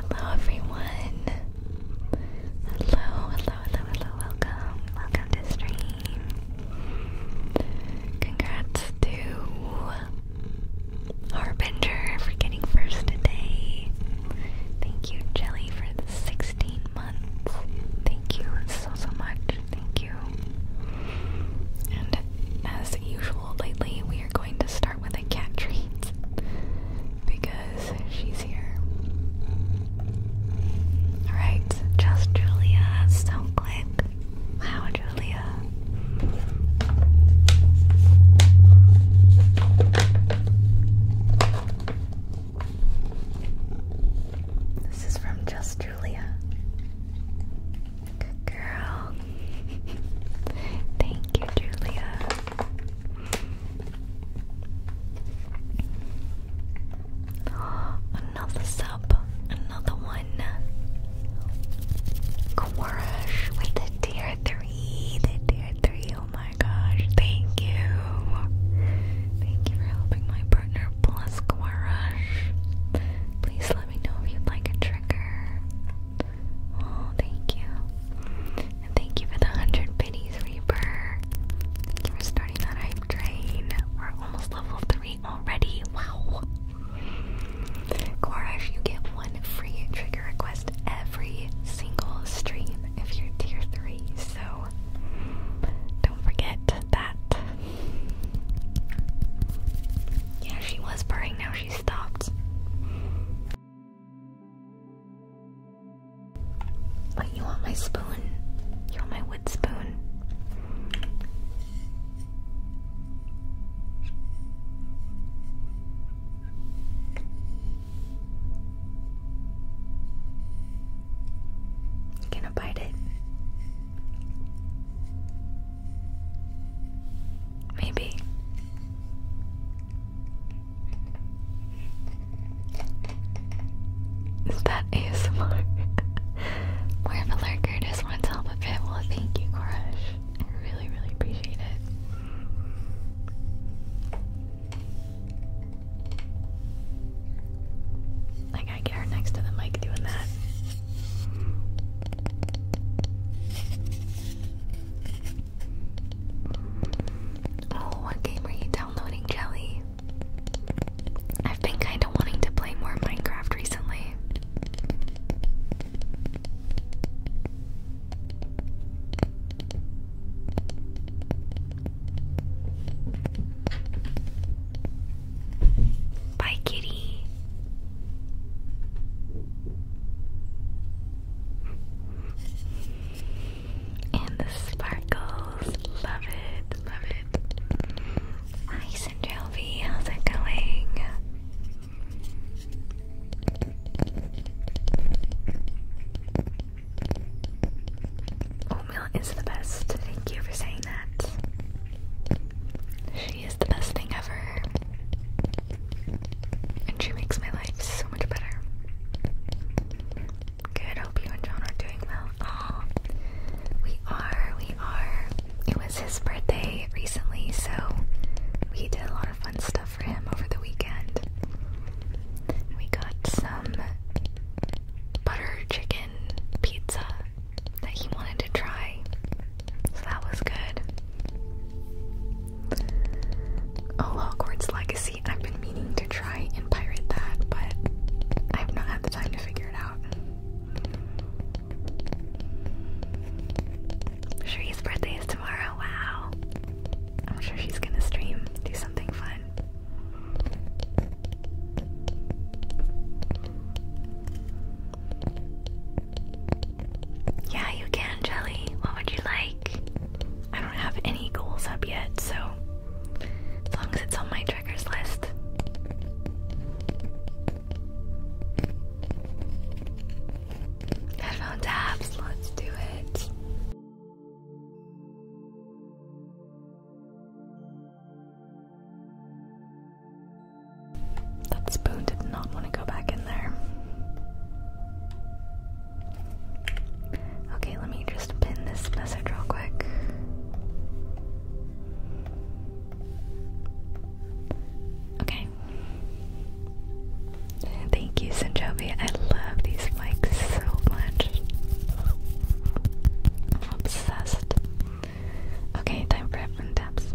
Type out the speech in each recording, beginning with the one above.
Hello, everyone. Hello, hello, hello, hello. Welcome, welcome to stream. Congrats to Harbinger for getting first today. Thank you, Jelly, for the 16 months. Thank you so, so much. Thank you. And as usual, lately, we are going to start with a cat treat because she's here. Alright, just Julia, so quick. Wow, Julia. This is from Just Julia. Good girl. Thank you, Julia. Another sub, another one one. Crush with the tier 3. The tier 3. Oh my gosh. Thank you. Thank you for helping my partner plus Quarash. Please let me know if you'd like a trigger. Oh, thank you. And thank you for the 100 pennies, Reaper. for starting that hype train. We're almost level 3 already. Wow. Korash, you get one free trigger request every single stream if you're tier three, so don't forget that. Yeah, she was purring, now she stopped. But you want my spoon? You want my wood spoon? gonna bite it? Maybe. Is that ASMR? More of a lurker, just wants to help a bit. Well, thank you, Crush. I really, really appreciate it. I gotta get her next to the mic doing that. Oh, what game are you downloading, Jelly? I've been kind of wanting to play more Minecraft recently. Bye, kitty. And the sparkles. Love it. Love it. Hi Cinderelvi, how's it going? Oatmeal oh, is the best. Thank you for saying that. She is the best thing ever. And she makes my life so much better. Good, hope you and John doing well. we are, we are it was his birthday recently, so we did a lot of fun stuff for him over the weekend. We got some butter chicken pizza that he wanted to try, so that was good. Oh, Hogwarts Legacy, I've been meaning to try and pirate that, but I have not had the time to figure it out. Cherie's birthday is tomorrow. Wow. I'm sure she's gonna stream, do something fun. Yeah, you can, Jelly. What would you like? I don't have any goals up yet, so as long as it's on my triggers list. Headphone tabs, let's do it. That spoon did not want to go back in there. Okay, let me pin this message real quick. Okay. Thank you, Sinjobi. I love these mics so much. I'm obsessed. Okay, time for headphone taps.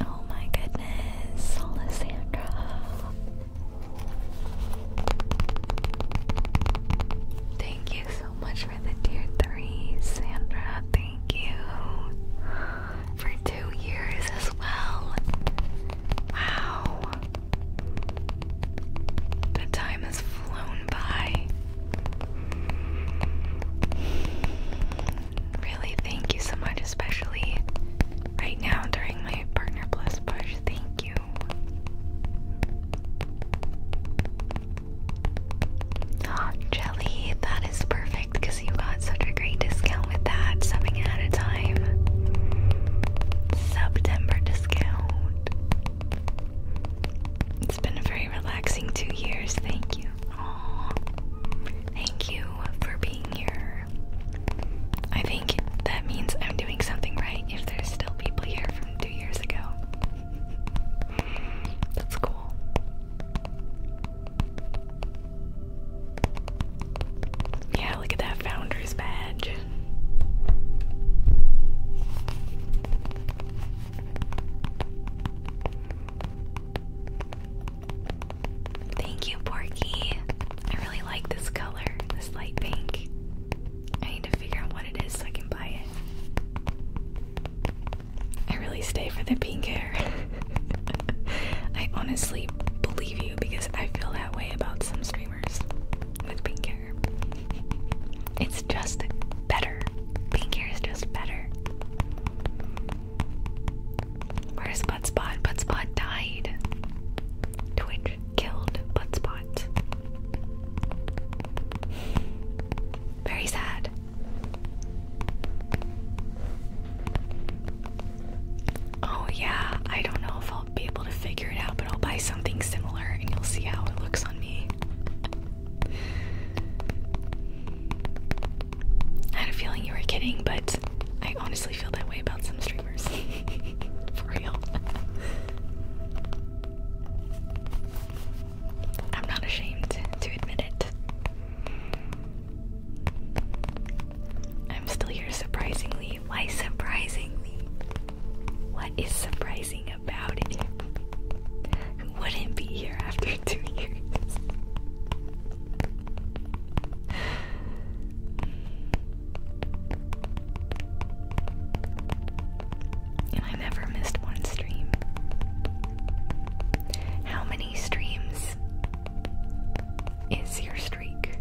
Oh my goodness, Alessandra. Thank you so much for the dear 3, Sandra. Thank you for two years as well. Wow. The time has flown by. Really, thank you so much, especially right now during my Partner Plus push. Thank you. Jelly, that is perfect because you got such a great discount with that, subbing at a time. September discount. It's been a very relaxing two years. Thank you. Aww. Thank you for being here. I think that means I'm doing something right if there's still people here from two years ago. That's cool. Yeah, look at that founder's badge. Thank you, Porky. I really like this color, this light pink. I need to figure out what it is so I can buy it. I really stay for the pink hair. I honestly believe you because I feel that way about some streamers with pink hair. It's just better. Pink hair is just better. Where's Butt Spot? Butt Spot died. Twitch killed Butt Spot. Very sad. Oh, yeah, I don't know I'll be able to figure it out, but I'll buy something similar and you'll see how it looks on me. I had a feeling you were kidding, but I honestly feel that way about some streamers. For real. I'm not ashamed to admit it. I'm still here surprisingly me? Why surprising me? What is surprising about it? Who wouldn't be here after two years? And I never missed one stream. How many streams is your streak?